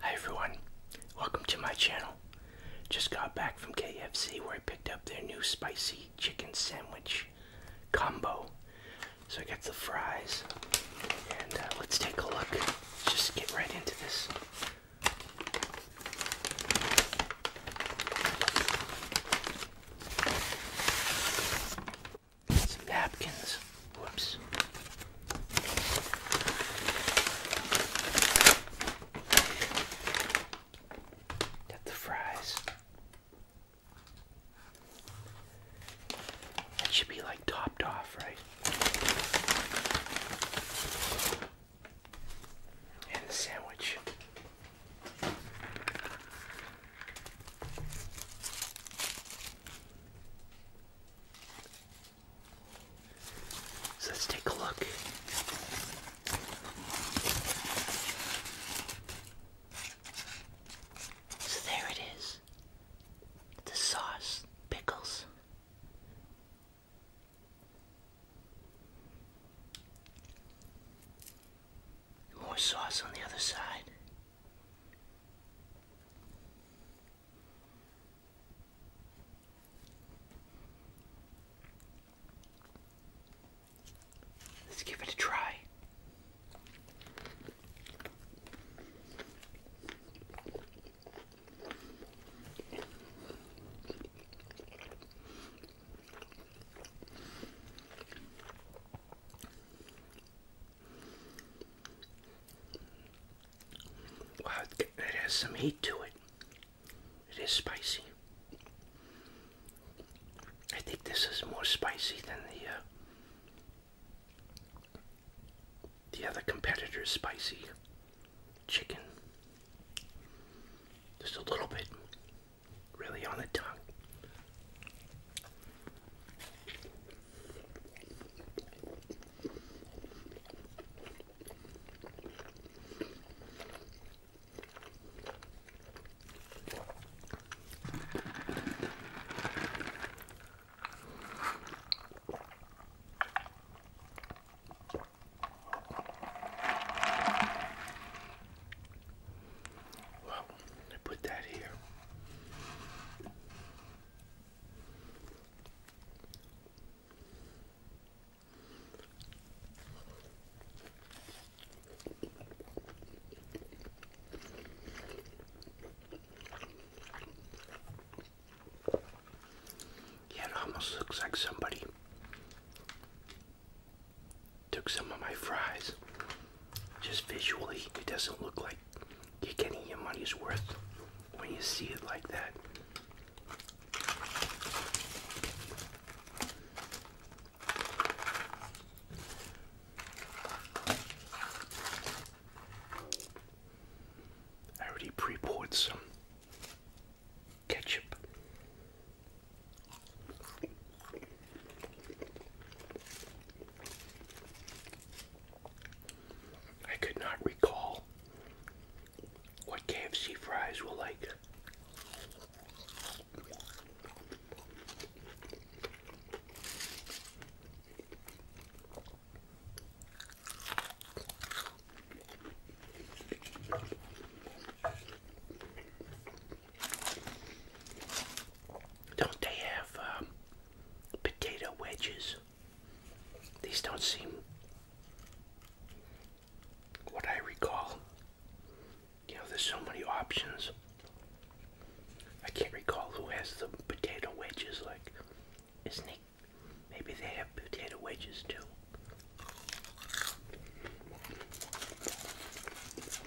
Hi everyone, welcome to my channel. Just got back from KFC where I picked up their new spicy chicken sandwich combo. So I got the fries, and uh, let's take a look. Let's just get right into this some napkins. Whoops. Got the fries. That should be like topped off, right? And the sandwich let's take a look. So there it is. The sauce, pickles. More sauce on the other side. Let's give it a try. Wow, it has some heat to it. It is spicy. I think this is more spicy than the uh, the other competitor's spicy chicken. Just a little bit really on the tongue. Well, I put that here. Yeah, it almost looks like somebody Took some of my fries. Just visually, it doesn't look like you're getting your money's worth when you see it like that. I already pre poured some ketchup I could not recall what KFC fries were like. Don't they have um, potato wedges? These don't seem what I recall. You know, there's so many options. I can't recall who has the potato wedges. Like, isn't it? Maybe they have potato wedges too.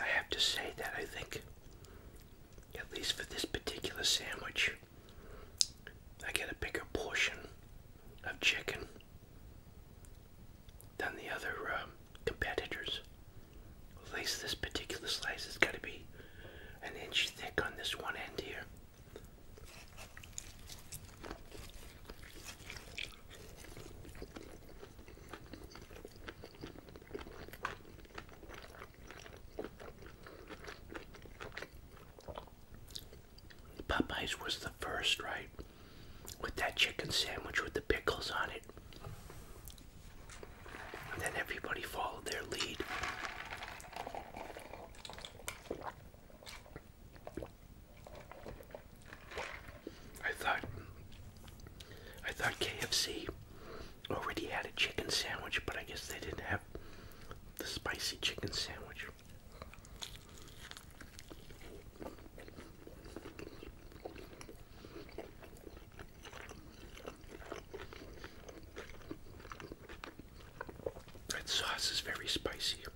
I have to say that I think, at least for this particular sandwich, I get a bigger portion of chicken than the other uh, competitors. At least this particular slice has got to be an inch thick on this one end here. Popeyes was the first, right? With that chicken sandwich with the pickles on it. then everybody followed their lead. I thought I thought KFC already had a chicken sandwich, but I guess they didn't have the spicy chicken sandwich. That sauce is very spicy. I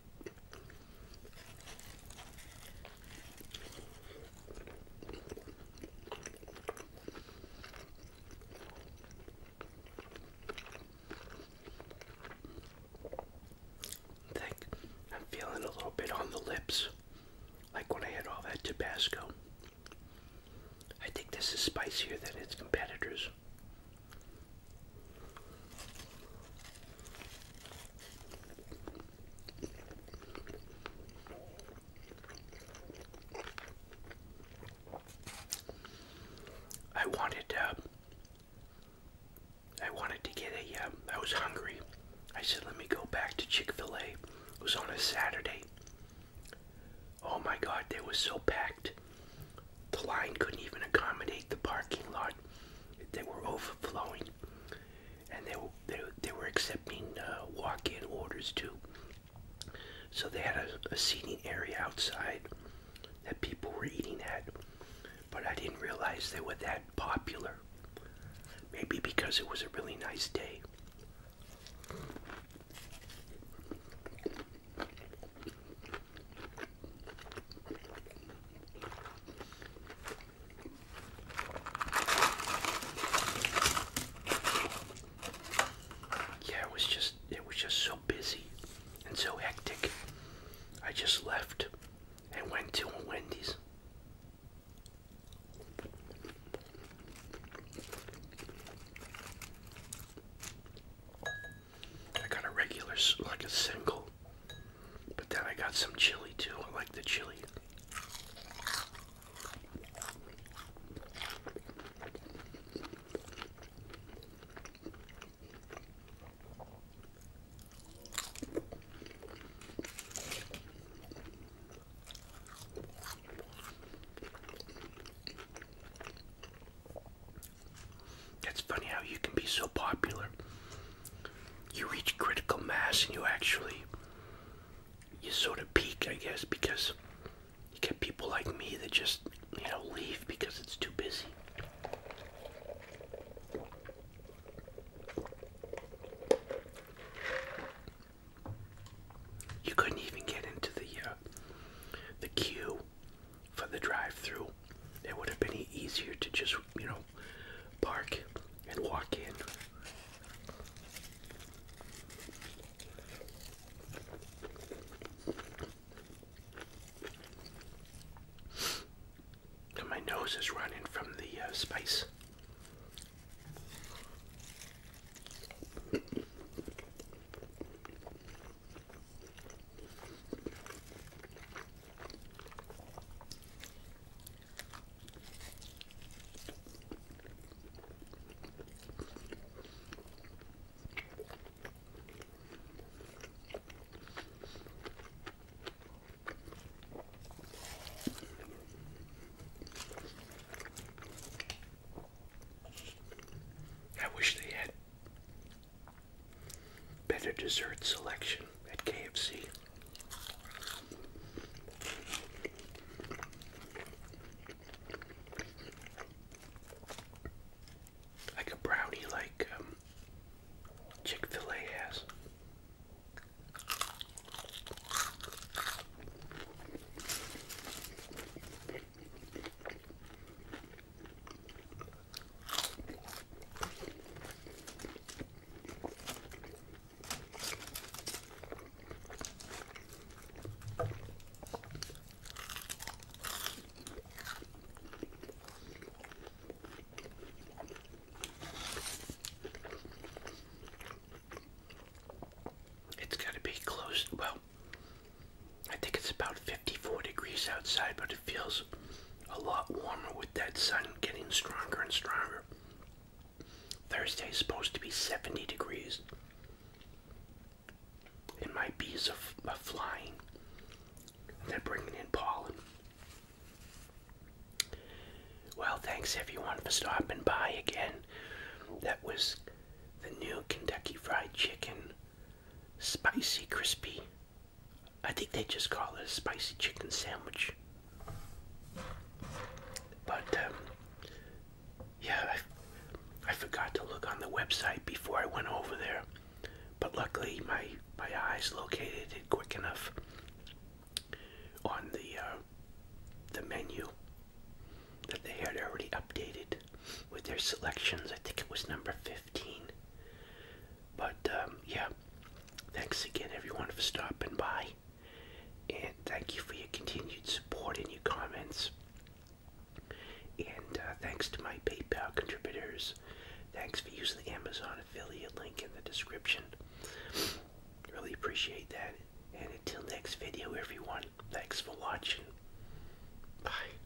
think I'm feeling a little bit on the lips, like when I had all that Tabasco. I think this is spicier than its competitors. I wanted, uh, I wanted to get a, uh, I was hungry. I said, let me go back to Chick-fil-A. It was on a Saturday. Oh my God, they were so packed. The line couldn't even accommodate the parking lot. They were overflowing and they they, they were accepting uh, walk-in orders too. So they had a seating area outside that people were eating at, but I didn't realize they were that popular. Maybe because it was a really nice day. Yeah, it was just it was just so busy and so hectic. I just left and went to a Wendy's. I got a regular, like a single but then I got some chili too. I like the chili. It's funny how you can be so popular you reach critical mass and you actually you sort of peak, I guess, because you get people like me that just you know leave because it's too busy. You couldn't even get into the uh, the queue for the drive-through. It would have been easier to just you know park and walk in. my nose is running from the uh, spice. I wish they had Better dessert selection at KFC. Like a brownie, like um, Chick fil A has. It's got to be close. Well, I think it's about 54 degrees outside, but it feels a lot warmer with that sun getting stronger and stronger. Thursday's supposed to be 70 degrees. And my bees are, are flying. They're bringing in pollen. Well, thanks everyone for stopping by again. That was the new Kentucky Fried Chicken Spicy Crispy I think they just call it a spicy chicken sandwich. But, um, yeah, I, forgot to look on the website before I went over there. But luckily, my, my eyes located it quick enough on the, uh, the menu that they had already updated with their selections. I think it was number 50. But um, yeah, thanks again everyone for stopping by. And thank you for your continued support and your comments. And uh, thanks to my PayPal contributors. Thanks for using the Amazon affiliate link in the description. Really appreciate that. And until next video, everyone, thanks for watching. Bye.